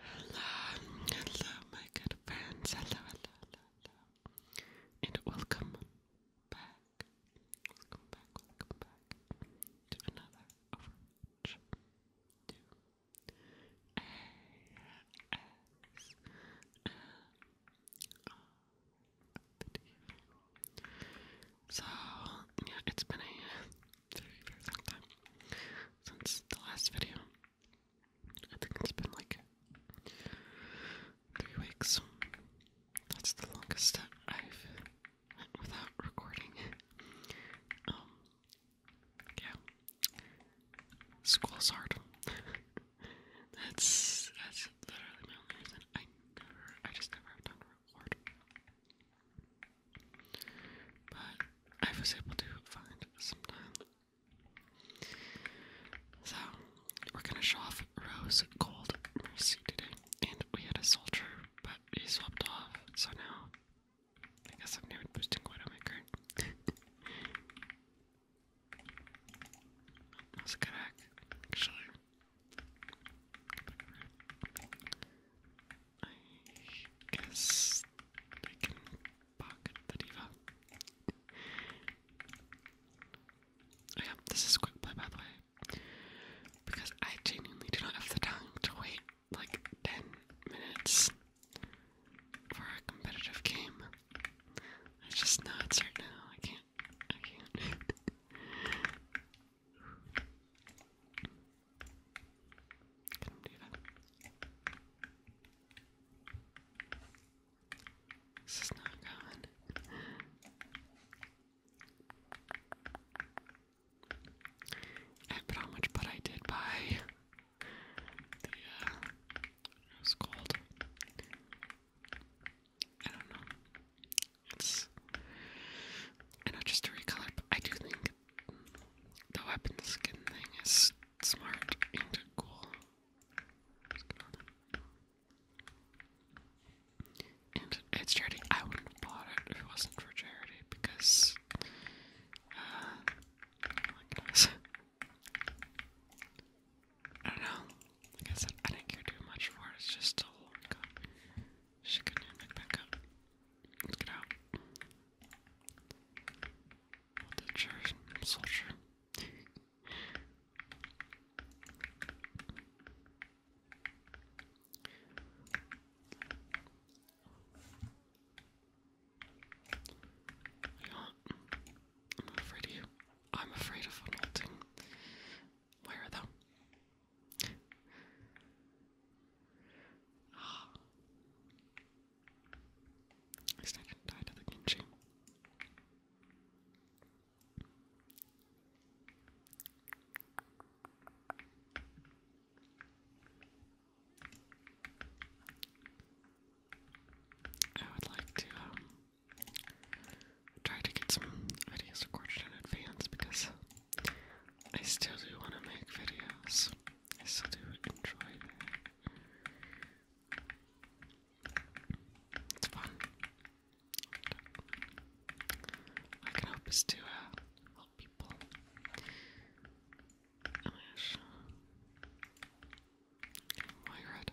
Hello, hello, my good friends. Hello, hello, hello, And welcome back. Welcome back, welcome back to another Overwatch So, yeah, it's been a very, very long time since the last video. I think it's been like three weeks. That's the longest I've went without recording. Um, yeah. School's hard. that's that's literally my only reason. I never, I just never have time to but I was able to find some time. So, we're gonna show off Rose Gold Mercy today, and we had a soldier, but he swapped off, so now I guess I'm doing boosting Widowmaker. that was a good hack, actually. I guess they can Pocket the Diva. oh yeah, this is quick play by the Because I genuinely do not have the time to wait like 10 minutes for a competitive game. I just know it's now. I can't. I can't. This is not good. I how much butt I did buy. The, uh, it was cold. I don't know. It's, not just to recolor, but I do think the weapon skin thing is smart and cool. And it's charity. I wouldn't bought it if it wasn't for charity because, uh, oh I don't know. I said, I didn't care much for It's just a long cup. She could back up. get out. I am not afraid of you. I'm afraid of nothing. Where are they? Ah. He's not gonna die to the Genji. I would like to um, try to get some videos recorded in advance because I still do want to make videos. I still do enjoy It's fun. I can is to uh, help people. Oh my god.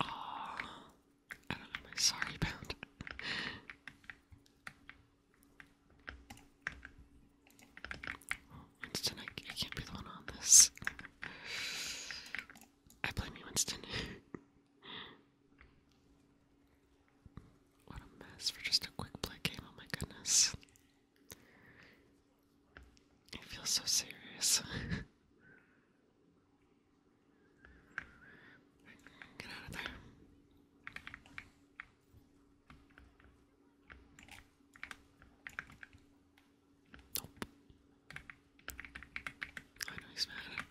Oh, I don't know. Sorry about. Oh, Winston, I, can't be the one on this. I blame you, Winston. what a mess for just a quick play game, oh my goodness. I feel so serious. Get out of there. Nope. I know he's mad.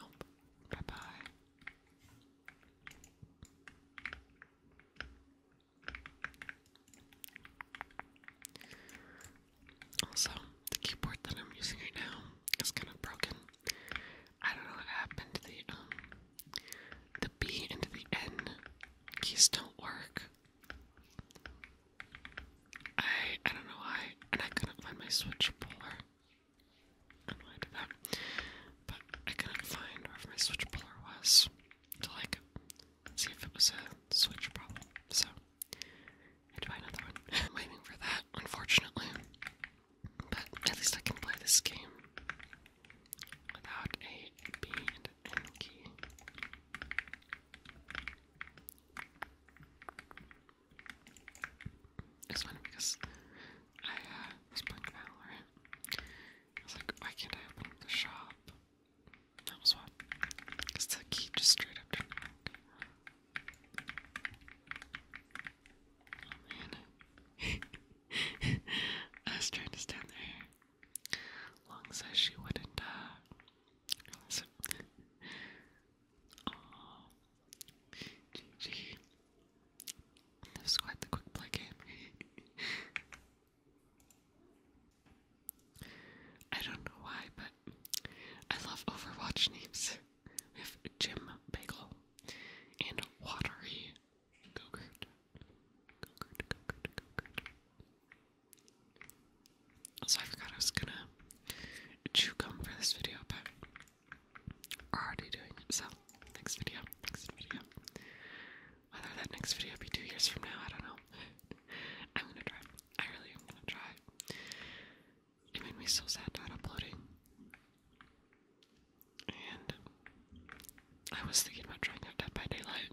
Nope. Bye bye. Also, the keyboard that I'm using right now is kind of broken. I don't know what happened. Um, the B and the N keys don't work. I I don't know why, and I couldn't find my switch puller. I don't know why I did that, but I couldn't find where my switch puller was to like see if it was a switch problem. So I had to buy another one. waiting for that, unfortunately. But at least I can play this game without a B and key. It's funny because I uh, was playing Valorant I was like, why can't I open the shop? That was what. Because the key just straight up didn't Oh man. I was trying to stand there. Long as she wouldn't, uh, realize it. Aww. GG. quite the quick play game. I don't know why, but I love Overwatch names. We have Jim Bagel and Watery Gogurt. Gogurt, Also, I forgot I was gonna chew gum for this video, but we're already doing it, so next video, next video. Whether that next video be two years from now, I don't know. I'm gonna try. I really am gonna try. It made me so sad not uploading. And I was thinking about trying out Dead by Daylight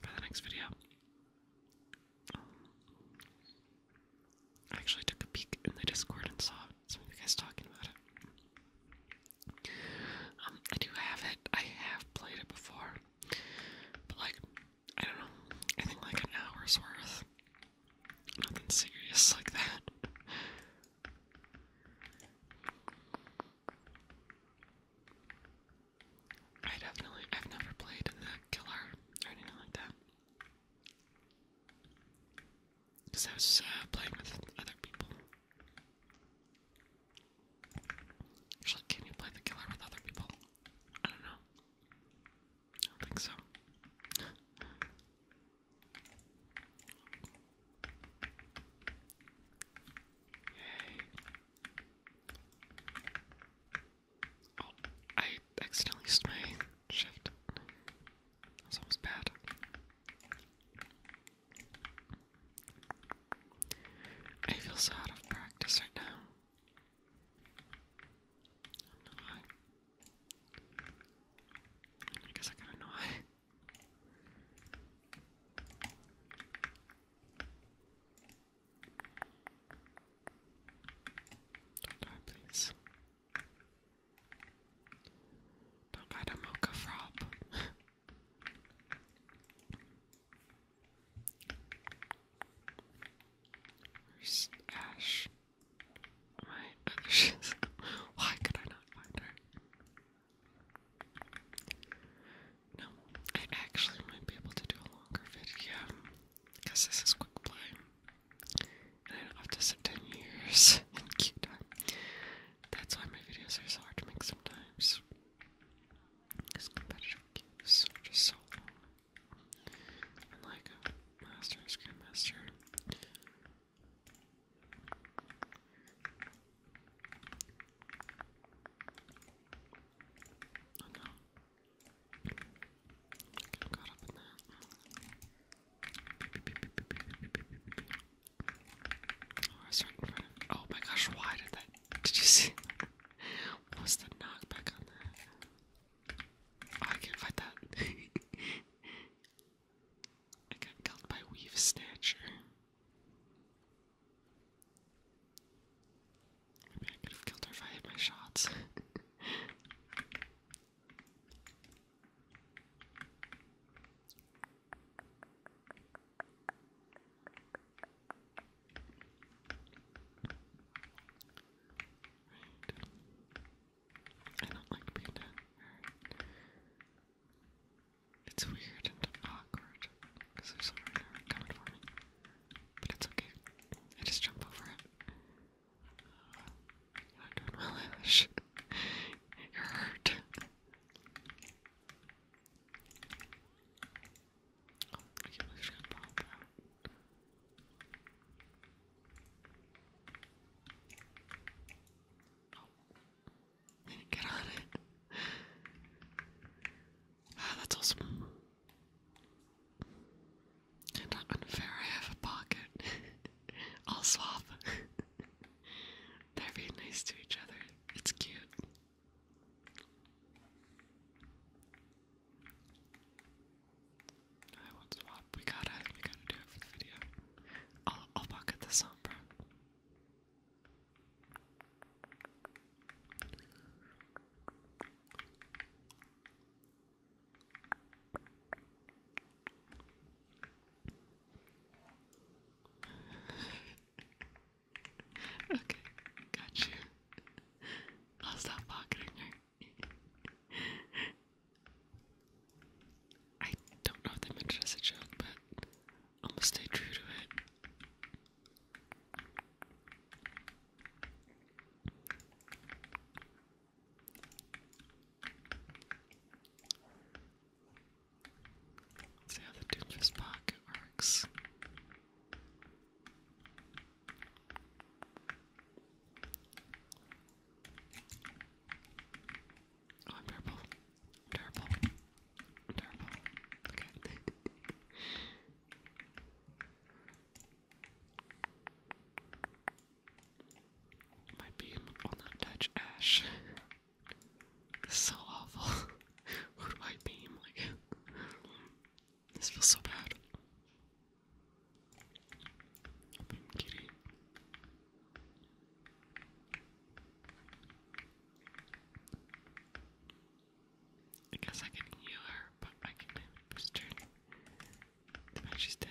for the next video. Um, I actually took a peek in the Discord and saw some of you guys talking about it. Um, I do have it. I have played it before. But like, I don't know. I think like an hour's worth. Nothing serious like that. I definitely, I've never played killer or anything like that. Because I was uh, playing with other people. Actually, can you play the killer with other people? I don't know. I don't think so. Oh, I accidentally used my shift. That almost bad. I feel so out of practice right now. don't know why. I guess I to know Don't die, please. Don't die to Mocha Frop. Where's My other Why could I not find her? No, I actually might be able to do a longer video because this is quick play. And I don't have to sit 10 years in queue time. That's why my videos are so hard to make sometimes. His competitive games just so long. Unlike a master's master. Oh my gosh, why did that? Did you see? Was the knockback on that? Oh, I can't fight that. I got killed by Weave Snatcher. Maybe I could have killed her if I hit my shots. I don't like being down here. It's weird and awkward because there's someone right coming for me. But it's okay. I just jump over it. you're doing well, Ash. you're hurt. I Get on it. that's awesome. And unfair, I have a pocket. I'll swap. They're being nice to each other. It's cute. I won't swap. We gotta, we gotta do it for the video. I'll, I'll pocket the sombra. okay, got you. I'll stop pocketing her. I don't know if they meant it as a joke, but I'm gonna stay true to it. Let's see how the Doomfist pocket works. Oh, I'm terrible. terrible. terrible. Okay. My beam will not touch Ash. This is so awful. Who do I beam? Like, this feels so bad. I guess I can heal her, but I can maybe boost her. she's dead.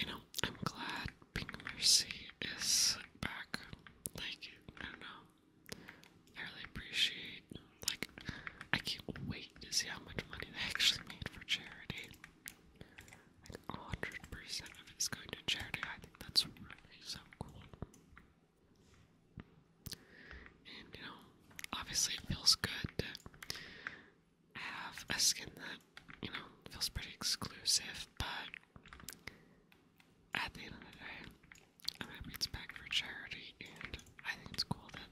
You know, I'm glad Pink Mercy is back. Like, I don't know. I really appreciate like I can't wait to see how much money they actually made for charity. Like 100% of it's going to charity. I think that's really so cool. And you know, obviously it feels good to have a skin that, you know, feels pretty exclusive, but at the end of the day, I'm happy it's back for charity and I think it's cool that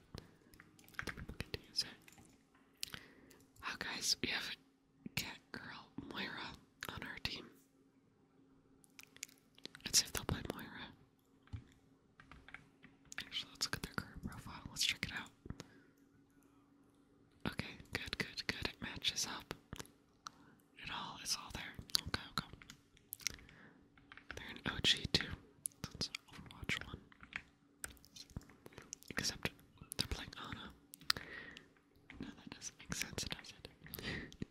people get use it. Oh, guys, we have a cat girl, Moira, on our team. Let's see if they'll play Moira. Actually, let's look at their current profile. Let's check it out. Okay, good, good, good. It matches up. It all, it's all there. Okay, okay. They're an OG too. That's Overwatch one. Except they're playing Ana. No, that doesn't make sense, does it?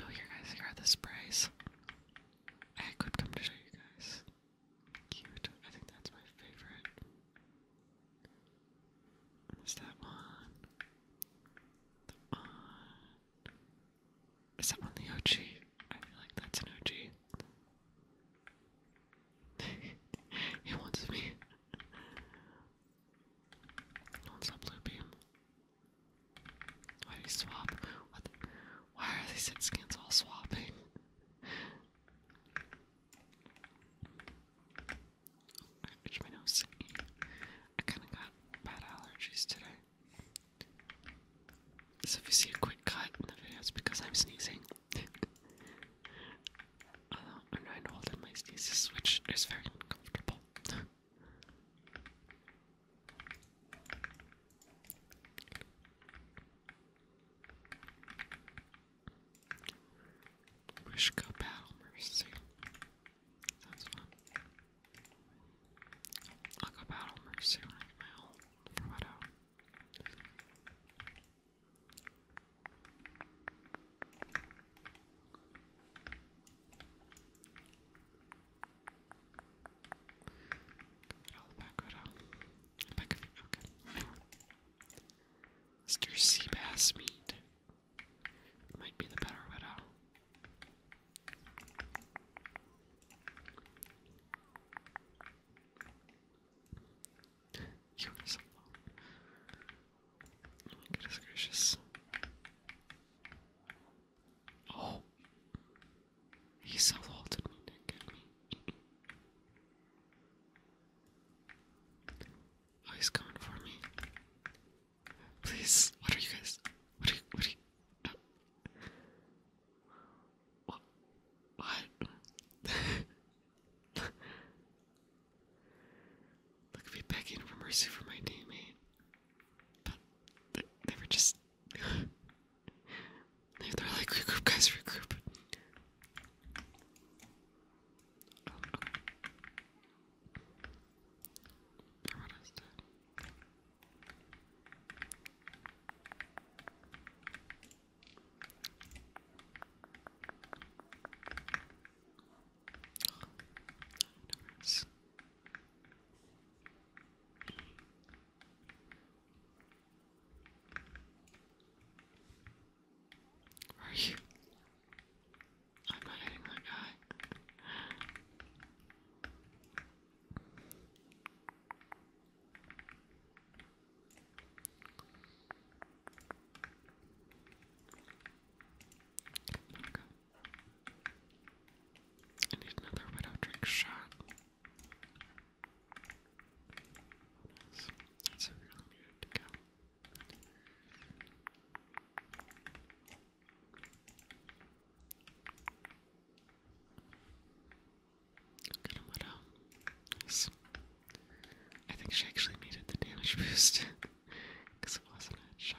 oh, here, guys, here are the sprays. I could come to show you guys. Cute. I think that's my favorite. Is that one? The one. Is that one the OG? I feel like that's an OG he wants me. he wants that blue Why do you swap? why are these hit skins all swapping? I itch my nose. I kinda got bad allergies today. So if you see a quick cut in the video, it's because I'm sneezing. I'm trying to hold in my sneezes, which is very uncomfortable. Wish go battle mercy. Sounds fun. i go battle mercy when my own for Mr. Seabass meat. Might be the better widow. Leave us alone. Oh my goodness gracious. Oh. He self-halted me, didn't me. Oh, he's coming for me. Please, what are you guys? What are you, what are you? Uh, what? Look at me begging for mercy for my teammate. But they, were just. They're like, regroup, guys, regroup. Nice. are you? I'm not hitting that guy. I need another widow drink shot. That's, a really good. to I think she actually needed the damage boost because it wasn't a shot.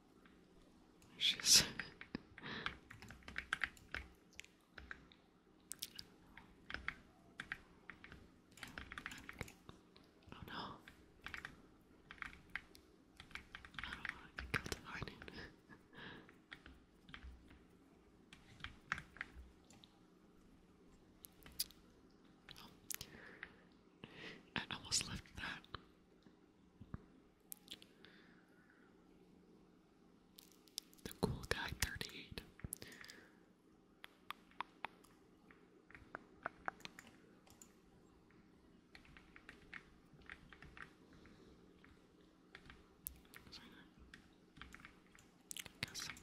She's Oh no. I don't the lightning. I almost left that. The cool guy 38.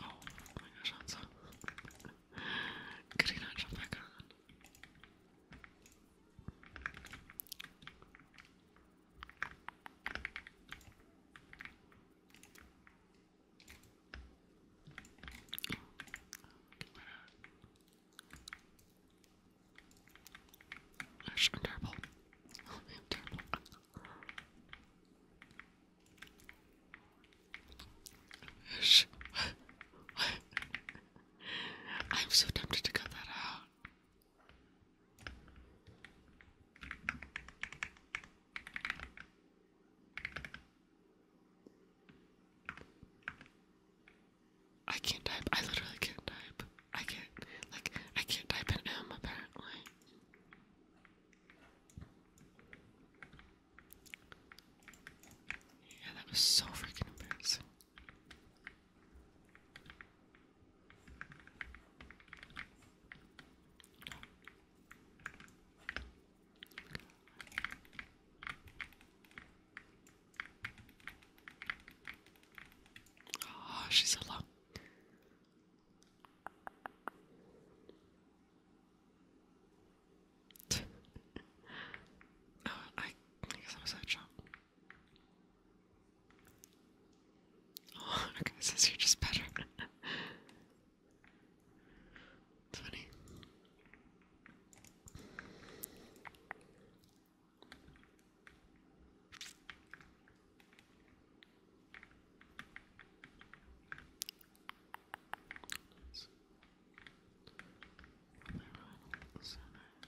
oh, my gosh, that's so. Could he Gosh, terrible. I'm so tempted to cut that out. I can't type. I literally can't type. I can't like I can't type an M apparently. Yeah, that was so freaking embarrassing. Oh, she's so long. oh, I, guess I'm so chopped. Oh, okay, says you're just better. it's funny.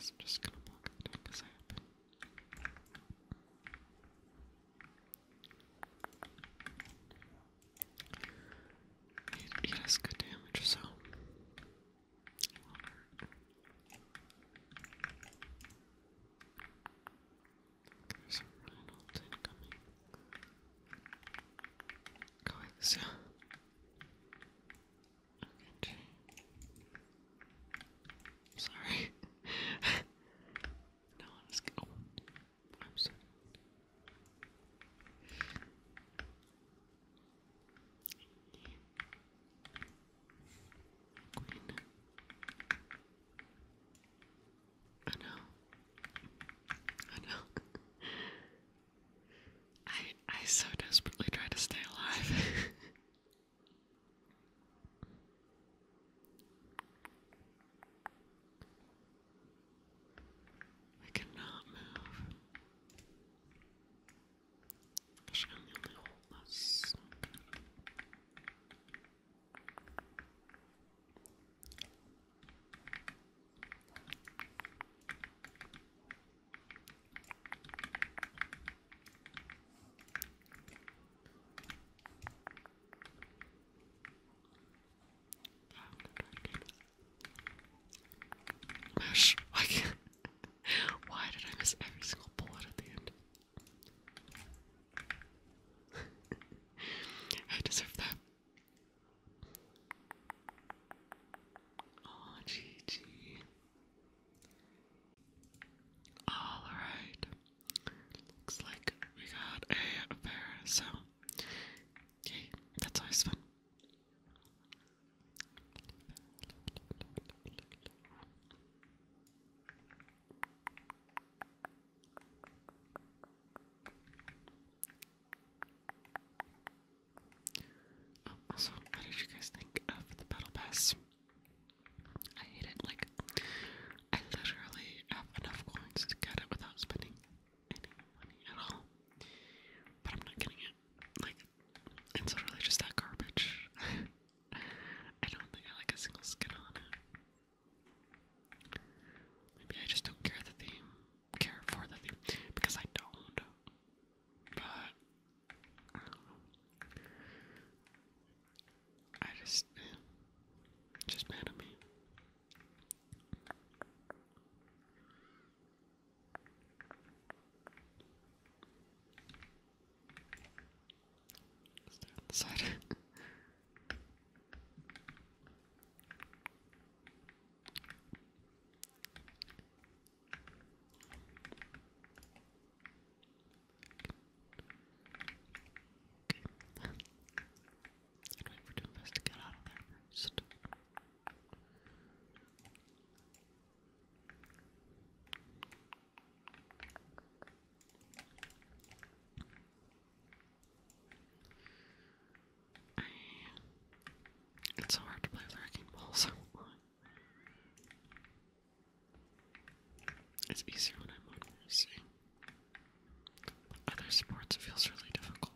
So i just gonna block everything as I happen. It, it good damage, so going so sorry no I'm just I'm sorry I know. I know. I I so desperately try to stay alive. I cannot move. She only hold us. Why did I miss every single bullet at the end? I deserve that. Oh, Gigi. Alright. Looks like we got a pair, so yay, that's always Oh, also, what did you guys think of the Battle Pass? I hate it. Like, I literally have enough coins to get it without spending any money at all. But I'm not getting it. Like, it's literally just that garbage. I don't think I like a single skin on it. Maybe I just don't care the theme care for the theme because I don't. But I know. just just mad at me. Let's Okay. and wait for two to get out of there first it's so hard to play with balls. it's easier when I'm on Other sports, it feels really difficult.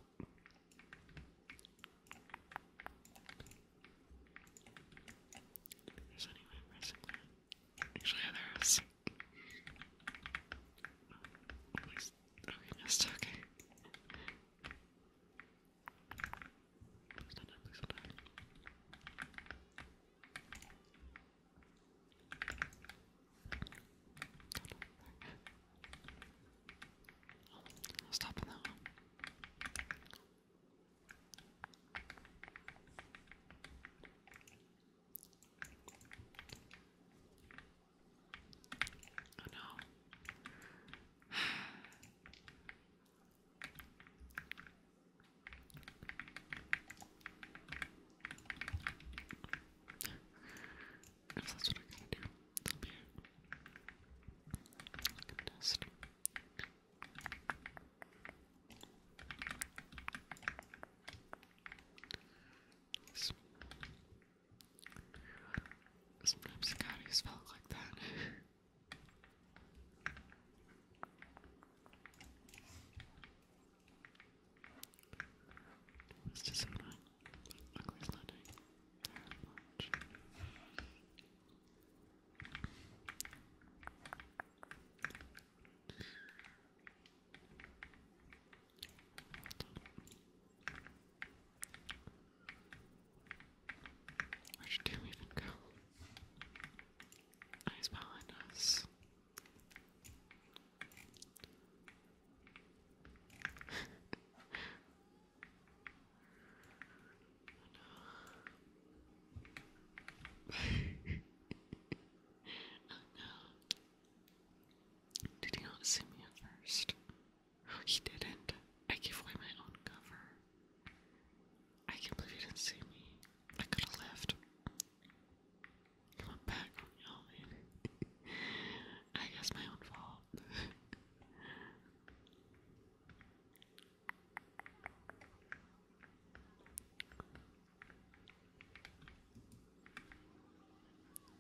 There's any way of Actually, there is. Oh, Okay. Stand up, please stand up. Oh, I'll stop on that one. Oh no. if that's what I'm gonna do, that'll be it. Goodness. Sometimes Scotty's felt like that. It's just annoying. Ugly's not doing very much. Well Where'd you even go? Oh, behind us. oh, no. oh no. Did he not see me first? he didn't. I gave away my own cover. I can't believe he didn't see me. I could have left. He back y'all, I guess my own fault.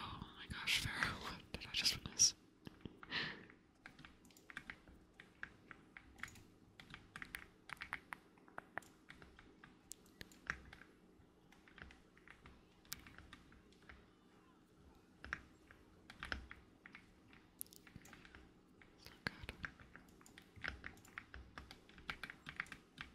Oh my gosh, Pharaoh, what did I just witness? It's good.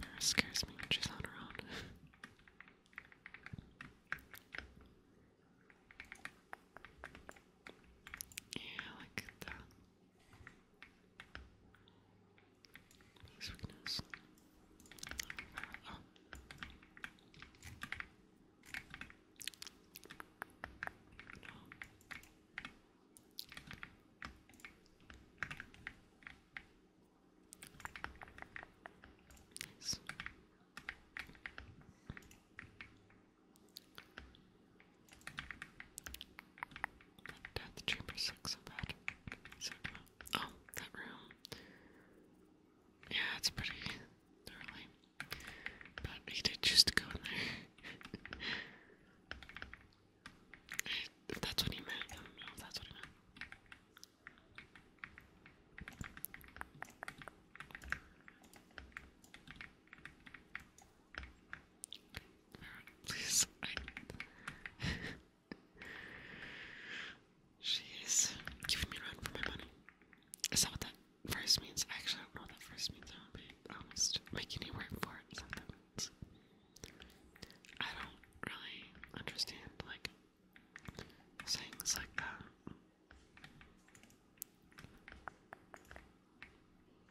Lara scares me when she's on her own. yeah, like that. His weakness. Oh. Nice. That the chamber sucks so bad. oh, that room. Yeah, it's pretty gnarly. But he did choose go in there. that's what he meant, that's what he meant. Please, I. She's giving me run for my money. Is that what that first means actually I don't know what that first means. I would be almost making any word for it sometimes. I don't really understand like things like that.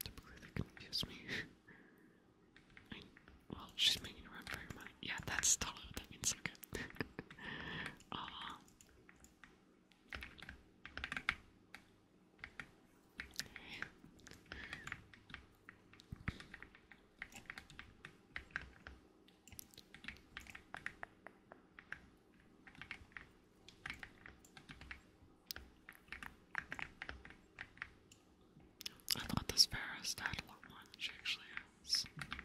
Typically they confuse me. I mean, well, she's making a run for her money. Yeah, that's totally what that means. Okay. uh, I thought this Varus died a lot more than she actually is. So good.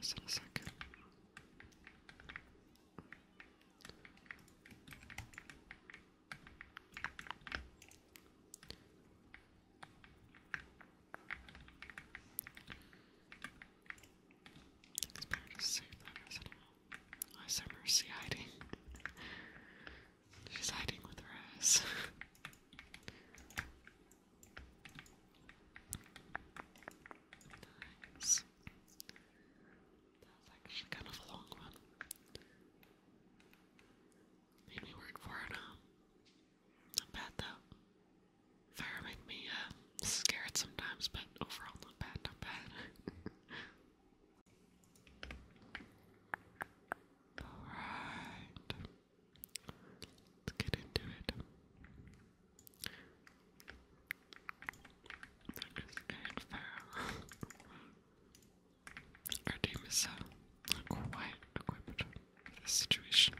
Just in a second. It's better mercy hiding. She's hiding with her ass. nice. That's actually kind of a long one. Made me work for it, um, Not bad though. Fire make me uh, scared sometimes, but overall not bad, not bad. Alright. Let's get into it. That is Aaron Farrell. Our team is uh, not for this situation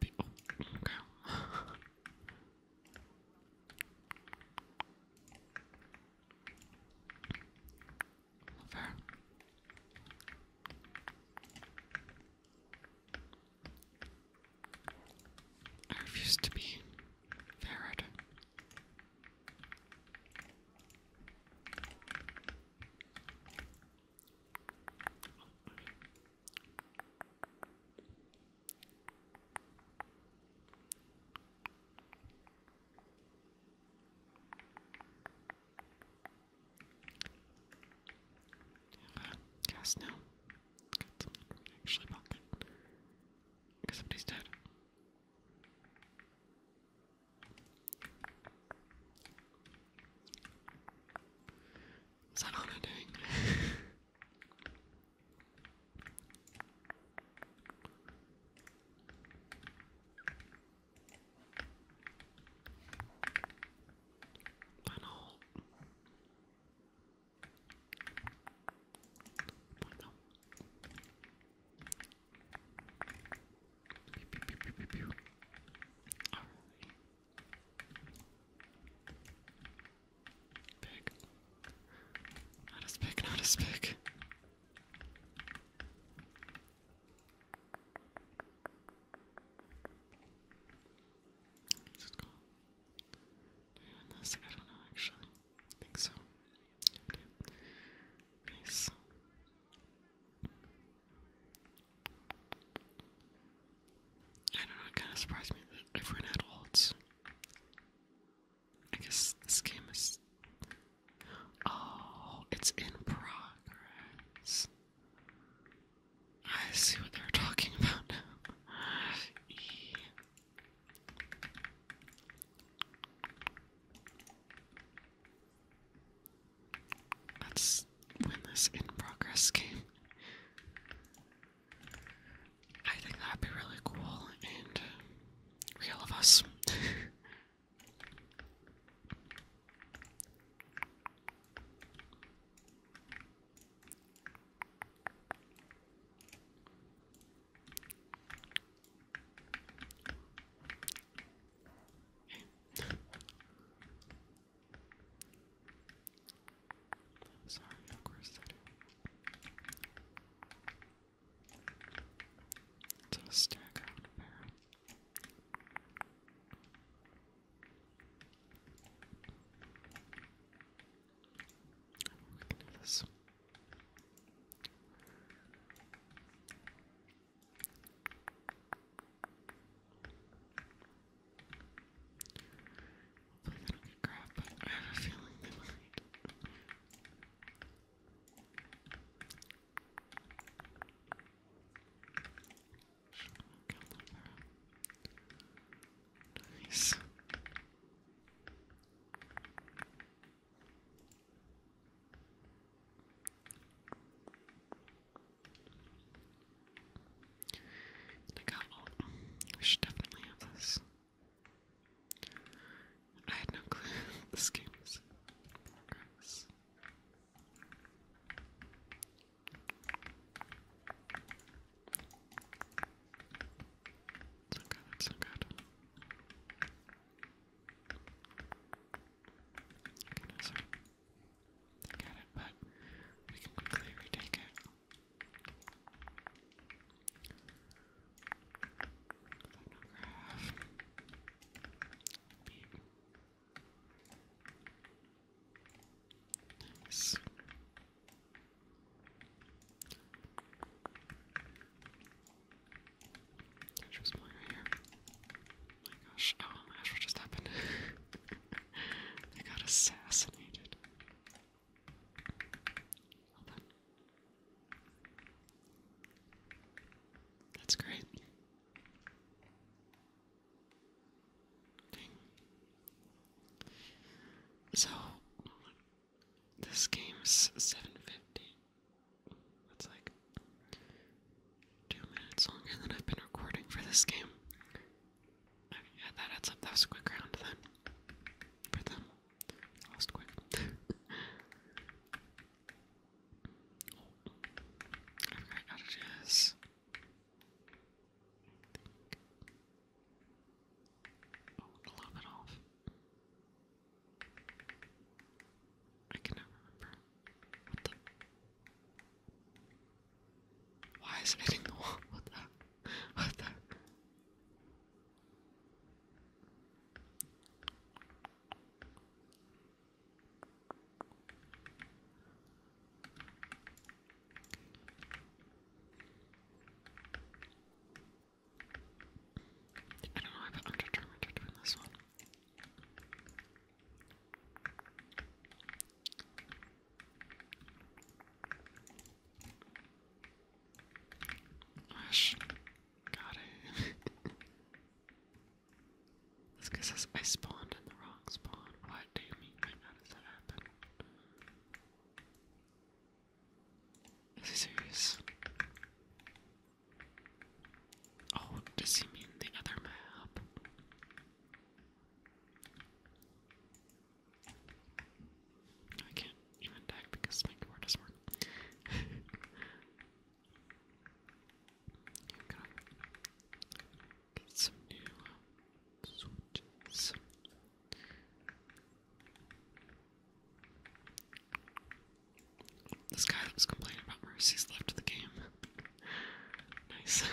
people. I refuse to be ferret. Uh, cast now. Got something actually pocket. Because somebody's dead. Is that all I'm doing? Panel. Panel. Pew, pew, Pig. Not as big, not as big. Is it cool? I don't know actually. I think so. nice. I don't know, it kind of surprised me that everyone had waltz. I guess this game is. Oh, it's in progress. I see what they're talking about now. That's when this in progress game. I think that'd be really cool and uh, real of us. Sorry, of course I do. It's a stack out pair. We can do this. Hopefully they I have a feeling Nice. I got all. should definitely have this. I had no clue this game is progress. It's okay, good. They've got it, but we can quickly retake it. Photograph. Nice. Catch was playing my gosh, oh, what just happened? They got assassinated. That's great. So this game's seven fifty. That's like two minutes longer than I've been recording for this game. Okay, yeah, that adds up. That a quick round then. For them. Lost quick. I forgot how to do a little bit off. I cannot remember. Why is it hitting the wall? What the? What the? I don't know, I'm determined to this one got it. this guy says I spawned in the wrong spawn. What do you mean by Does that happen? Is he serious? Oh, does he mean the other map? I can't even tag because my keyboard doesn't work. Here, gotta get some new uh, switches. This guy that was complaining about Mercy's left the game. nice.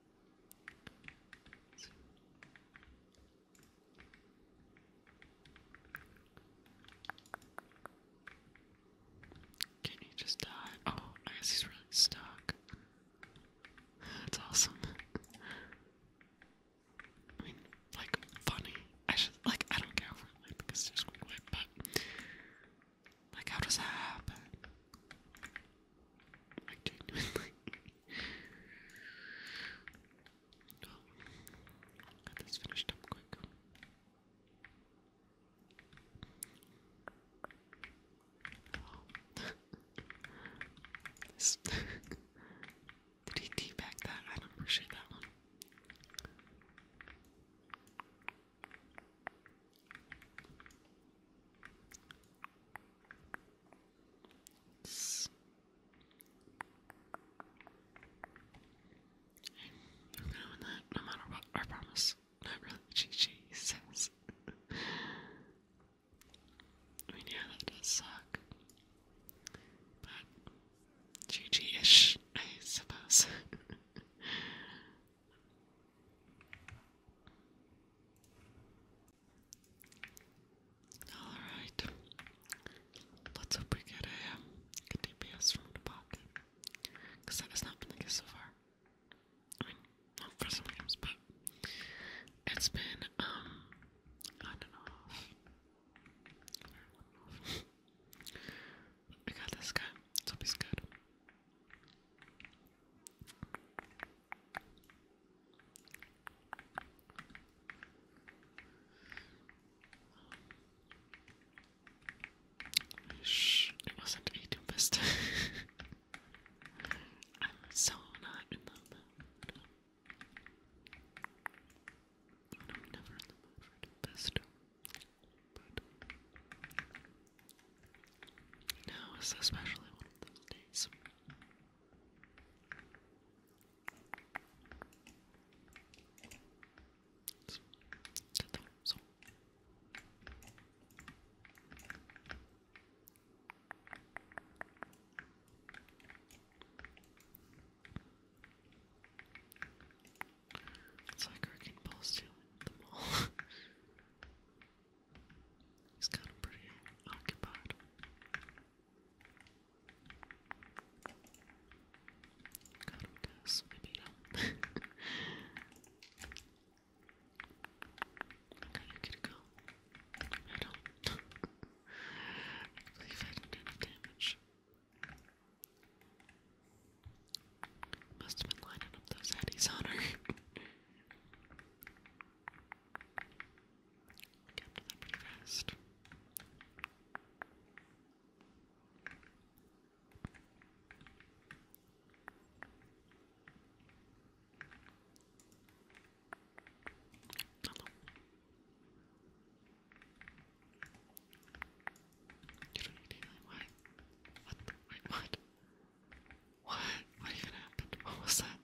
Can he just die? Oh, I guess he's really stuck. That's awesome. I mean, like funny. I should like I don't care if because there's quick but like, how does that happen? Like, genuinely. oh. Get this up quick. Did he teabag that? I don't appreciate that one. I'm doing that no matter what, I promise. Not really, GG says. I mean, yeah, that does suck. But, GG ish, I suppose. Alright. Let's hope we get a, um, DPS from the pocket. Because that has not been the case so far. I mean, not for some games, but it's been, um, on and off. I got this guy, so he's good. Shh, it not YouTube this time. I'm so not in the mood. I'm never in the mood for this, but now is especially one of those days. It's like wrecking balls stealing them all. He's kind of pretty occupied. Got him, guys. Maybe not. okay, you get go. I don't. believe I did enough damage. Must have been lining up those eddies on her. I got to that pretty fast. Hello. You don't need healing, why? What? Wait, what? What? What even happened? What was that?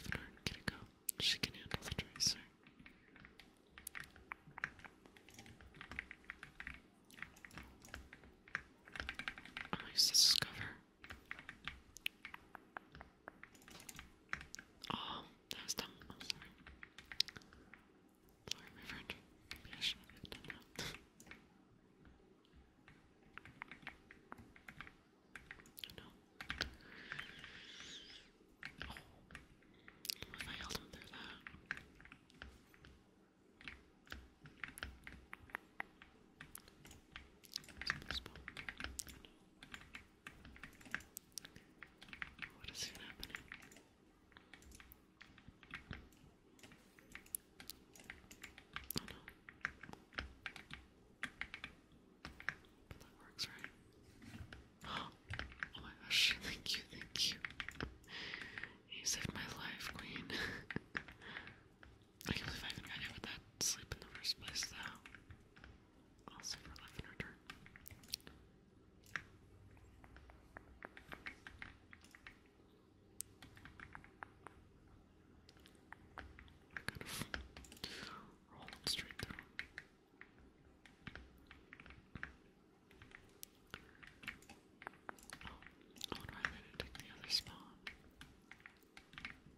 Believe it or not, get it go. She can handle the tracer. I'll Oh, that was dumb. I'm sorry. Sorry, my friend. Maybe I shouldn't have oh What if I held him through that? What is happening? Oh, that works, right? oh my gosh, thank you, thank you. You saved my life, Queen. I can't believe I even got that sleep in the first place, though. Also for life and return. Kind of straight through. Oh, oh I wonder why take the other spawn.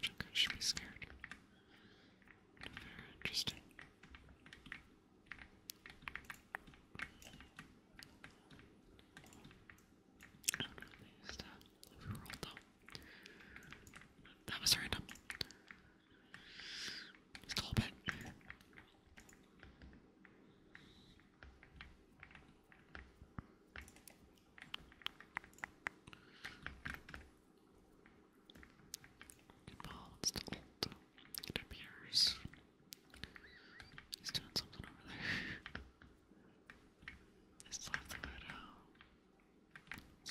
Junko should be scared. Very interesting. that. That was random. Just a little bit it appears. He's doing something over there. I still have to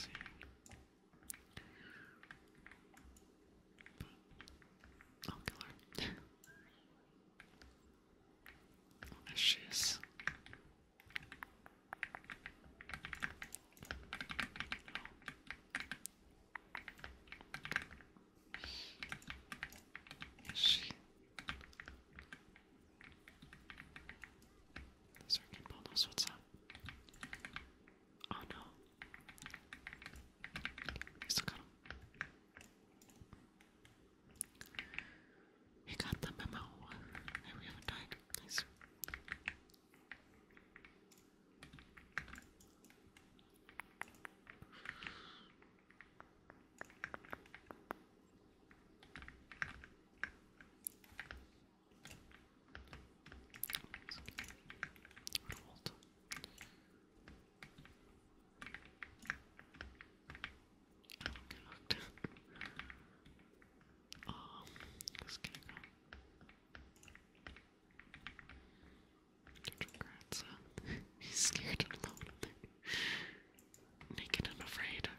see. I'll kill her. Delicious. Is she? The circuit ball knows what's Oh no. You still got he got the memo. we haven't died. Nice. I don't get to go. He's scared and alone Naked and afraid.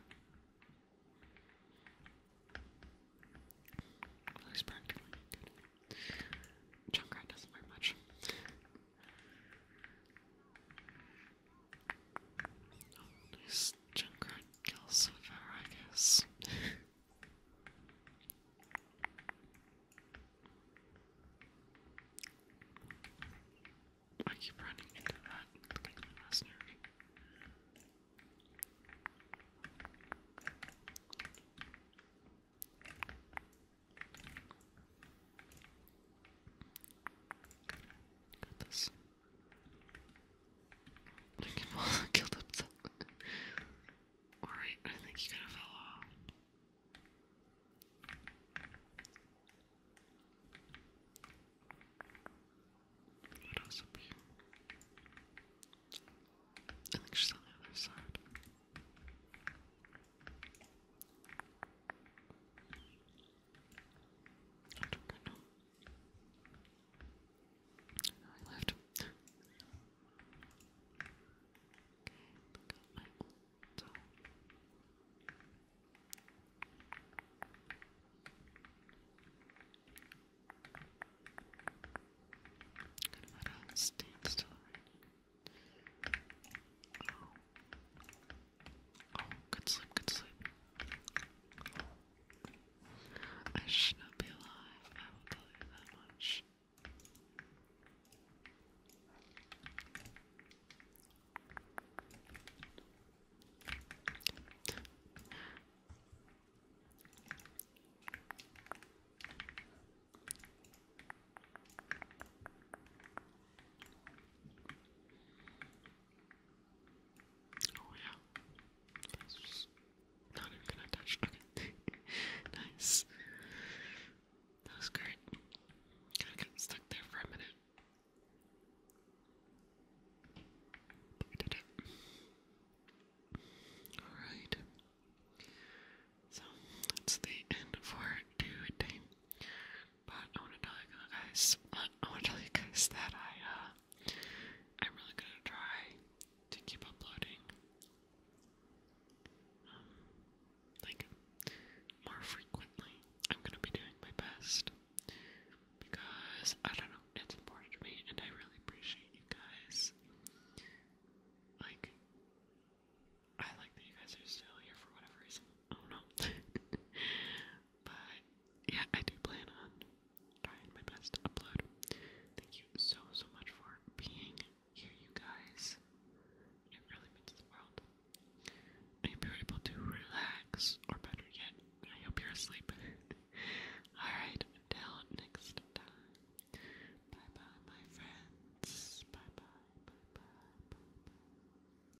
Well, he's practically doesn't wear much. This Junkrat kills with her, I guess. I keep running into that like Got this. Pokemon killed himself. Alright, I think he kind of fell off. What else up here? I think she's on the other side. I don't know. I left. okay, look at my old I'm gonna stand still right good sleep, good sleep. I should not be alive, I will tell you that much. Oh yeah. That's not even gonna touch. nice. That was great. Kinda got stuck there for a minute. did it. Alright. So that's the end for today. But I want to tell you guys, I want to tell you guys that I, uh, I'm really gonna try to keep uploading, um, like more frequently. I'm gonna be doing my best because I don't know, it's important to me, and I really appreciate you guys. Like, I like that you guys are still here for whatever reason. I don't know. But yeah, I do plan on trying my best to upload. Thank you so, so much for being here, you guys. It really means the world. I hope you're able to relax, or better yet, I hope you're asleep. Alright, until next time. Bye bye, my friends. Bye bye, bye bye, bye bye.